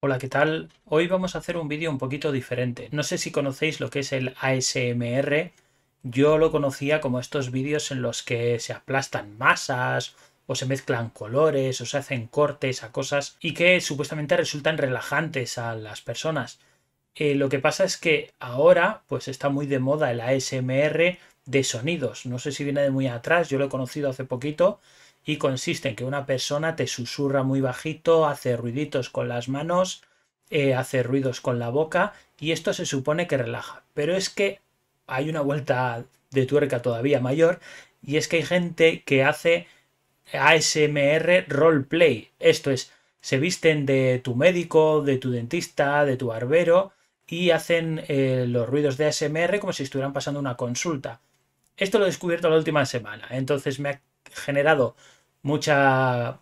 Hola, ¿qué tal? Hoy vamos a hacer un vídeo un poquito diferente. No sé si conocéis lo que es el ASMR. Yo lo conocía como estos vídeos en los que se aplastan masas o se mezclan colores o se hacen cortes a cosas y que supuestamente resultan relajantes a las personas. Eh, lo que pasa es que ahora pues está muy de moda el ASMR de sonidos. No sé si viene de muy atrás, yo lo he conocido hace poquito y consiste en que una persona te susurra muy bajito, hace ruiditos con las manos, eh, hace ruidos con la boca y esto se supone que relaja. Pero es que hay una vuelta de tuerca todavía mayor y es que hay gente que hace ASMR roleplay. Esto es, se visten de tu médico, de tu dentista, de tu barbero y hacen eh, los ruidos de ASMR como si estuvieran pasando una consulta. Esto lo he descubierto la última semana, entonces me ha generado mucha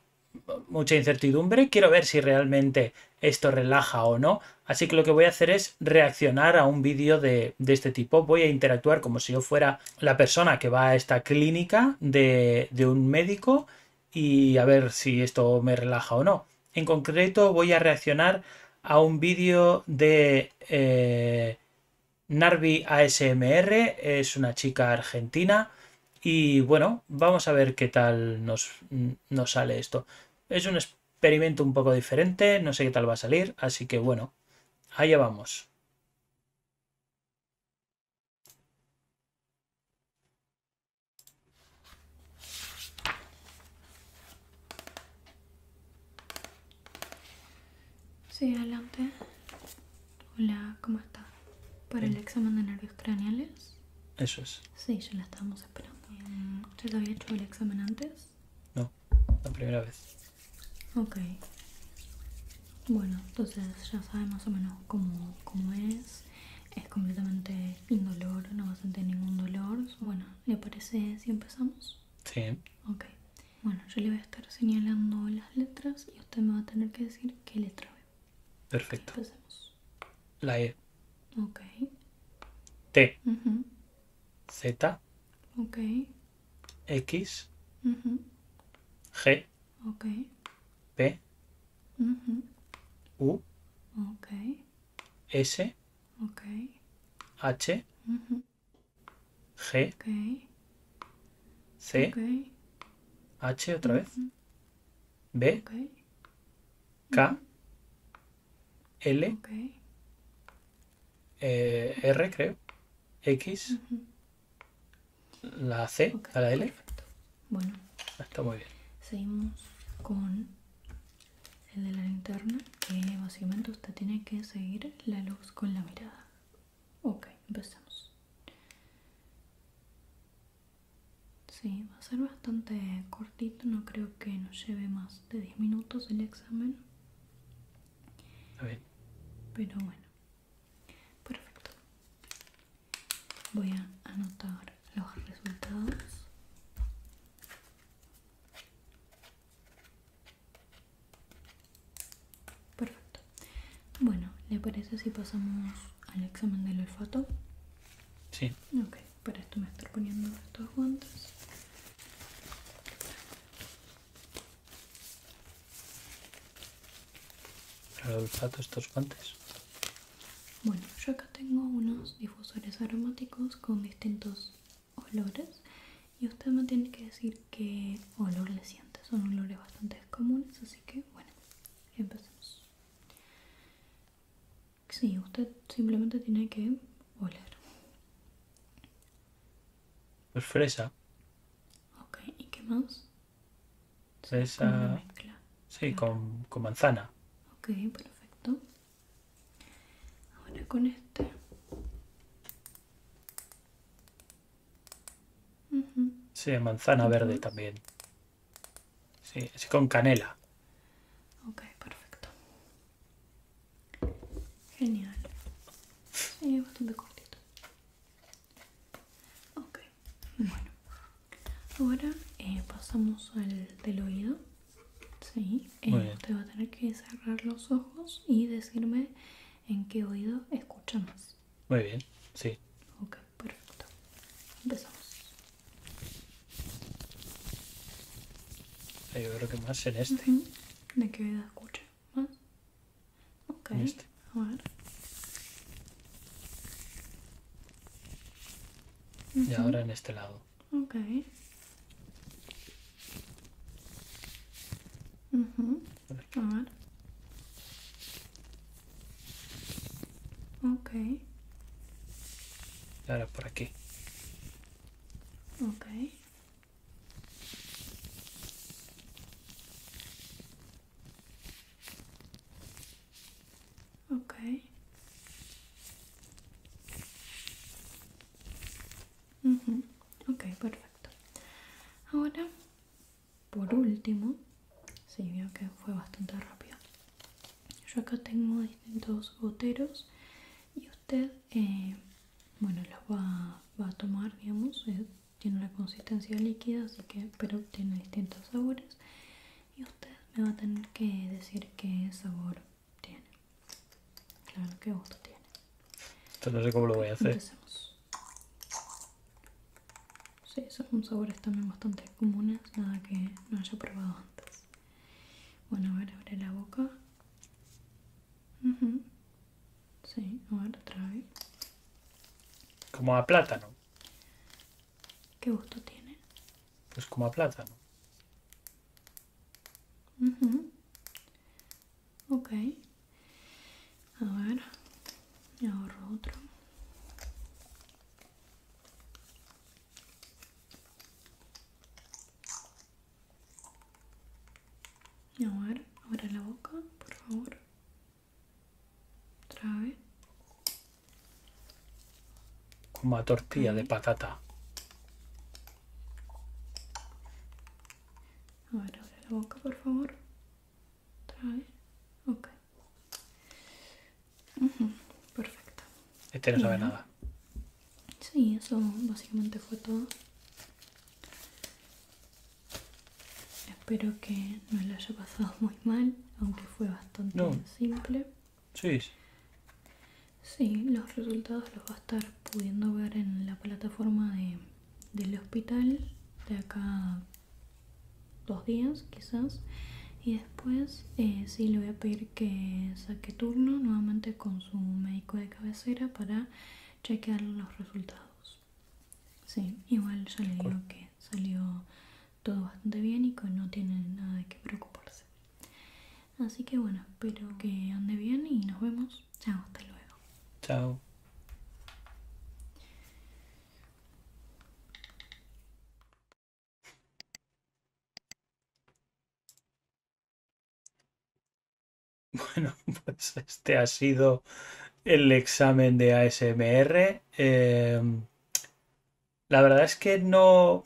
mucha incertidumbre, quiero ver si realmente esto relaja o no, así que lo que voy a hacer es reaccionar a un vídeo de, este tipo, voy a interactuar como si yo fuera la persona que va a esta clínica de, un médico y a ver si esto me relaja o no. En concreto voy a reaccionar a un vídeo de eh, Narvi ASMR, es una chica argentina y bueno, vamos a ver qué tal nos sale esto. Es un experimento un poco diferente, no sé qué tal va a salir, así que bueno, allá vamos. Sí, adelante. Hola, ¿cómo estás? ¿Para el examen de nervios craneales? Eso es. Sí, ya la estábamos esperando. ¿Usted había hecho el examen antes? No, la primera vez. Ok. Bueno, entonces ya sabe más o menos cómo, es. Es completamente indolor, no va a sentir ningún dolor. Bueno, ¿le parece si empezamos? Sí. Ok. Bueno, yo le voy a estar señalando las letras y usted me va a tener que decir qué letra ve. Perfecto. La E. Ok. T. Z. Ok. X. G. P. U. S. H. G. C. H otra vez. B. K. L, eh, R, creo, X, la C, a la L. Bueno. Ah, está muy bien. Seguimos con el de la linterna, que básicamente usted tiene que seguir la luz con la mirada. Ok, empezamos. Sí, va a ser bastante cortito, no creo que nos lleve más de 10 minutos el examen. Pero bueno, perfecto. Voy a anotar los resultados. Perfecto. Bueno, ¿le parece si pasamos al examen del olfato? Sí. Ok, para esto me estoy poniendo estos guantes. Para estos guantes. Bueno, yo acá tengo unos difusores aromáticos con distintos olores y usted me tiene que decir qué olor le siente. Son olores bastante comunes, así que bueno, empecemos. Sí, usted simplemente tiene que oler. Pues fresa. Ok, ¿y qué más? Fresa. Sí, con, manzana. Ok, perfecto. Ahora con este. Sí, manzana verde también. Sí, así con canela. Ok, perfecto. Genial. Sí, es bastante cortito. Ok, bueno. Ahora eh, pasamos al del oído. Sí, eh, usted va a tener que cerrar los ojos y decirme en qué oído escucha más. Muy bien, sí. Ok perfecto empezamos yo creo que más en este de qué edad escucha más ok este. a ver y ahora en este lado ok mhm A ver. Okay. Ahora por aquí. Okay. Okay. Mhm. Okay, perfecto. Ahora por último si sí, veo que fue bastante rápido yo acá tengo distintos goteros y usted eh, bueno los va, a tomar digamos eh, tiene una consistencia líquida así que pero tiene distintos sabores y usted me va a tener que decir qué sabor tiene claro qué gusto tiene Entonces no sé cómo lo voy a hacer Sí, son sabores también bastante comunes, nada que no haya probado antes. Bueno, a ver, abre la boca. Sí, a ver, otra vez. Como a plátano. ¿Qué gusto tiene? Pues como a plátano. Ok. A ver, me ahorro otro. A ver, ahora la boca, por favor. Otra vez. Como a tortilla de patata. A abre la boca, por favor otra Ok. Perfecto. Este no sabe nada. Sí, eso básicamente fue todo. Espero que no le haya pasado muy mal, aunque fue bastante simple. Sí. Sí, los resultados los va a estar pudiendo ver en la plataforma de del hospital de acá dos días quizás y después eh, sí le voy a pedir que saque turno nuevamente con su médico de cabecera para chequear los resultados sí igual ya le digo que salió todo bastante bien y que no tiene nada de qué preocuparse así que bueno espero que ande bien y nos vemos Chao, hasta luego. Chao. Bueno, pues este ha sido el examen de ASMR. Em, la verdad es que no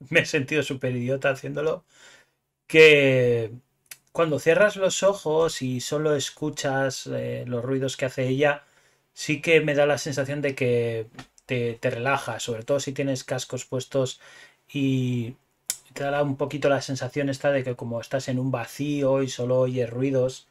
me he sentido súper idiota haciéndolo que cuando cierras los ojos y solo escuchas eh, los ruidos que hace ella, sí que me da la sensación de que te, te relaja, sobre todo si tienes cascos puestos y te da un poquito la sensación esta de que como estás en un vacío y solo oyes ruidos.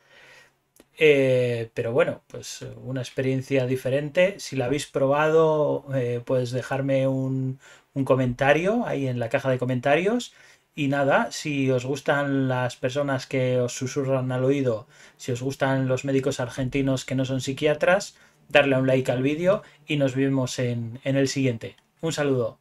Eh, pero bueno, pues una experiencia diferente. Si la habéis probado, eh, puedes pues dejarme un, un comentario ahí en la caja de comentarios. Y nada, si os gustan las personas que os susurran al oído, si os gustan los médicos argentinos que no son psiquiatras, darle un like al vídeo y nos vemos en, en el siguiente. Un saludo.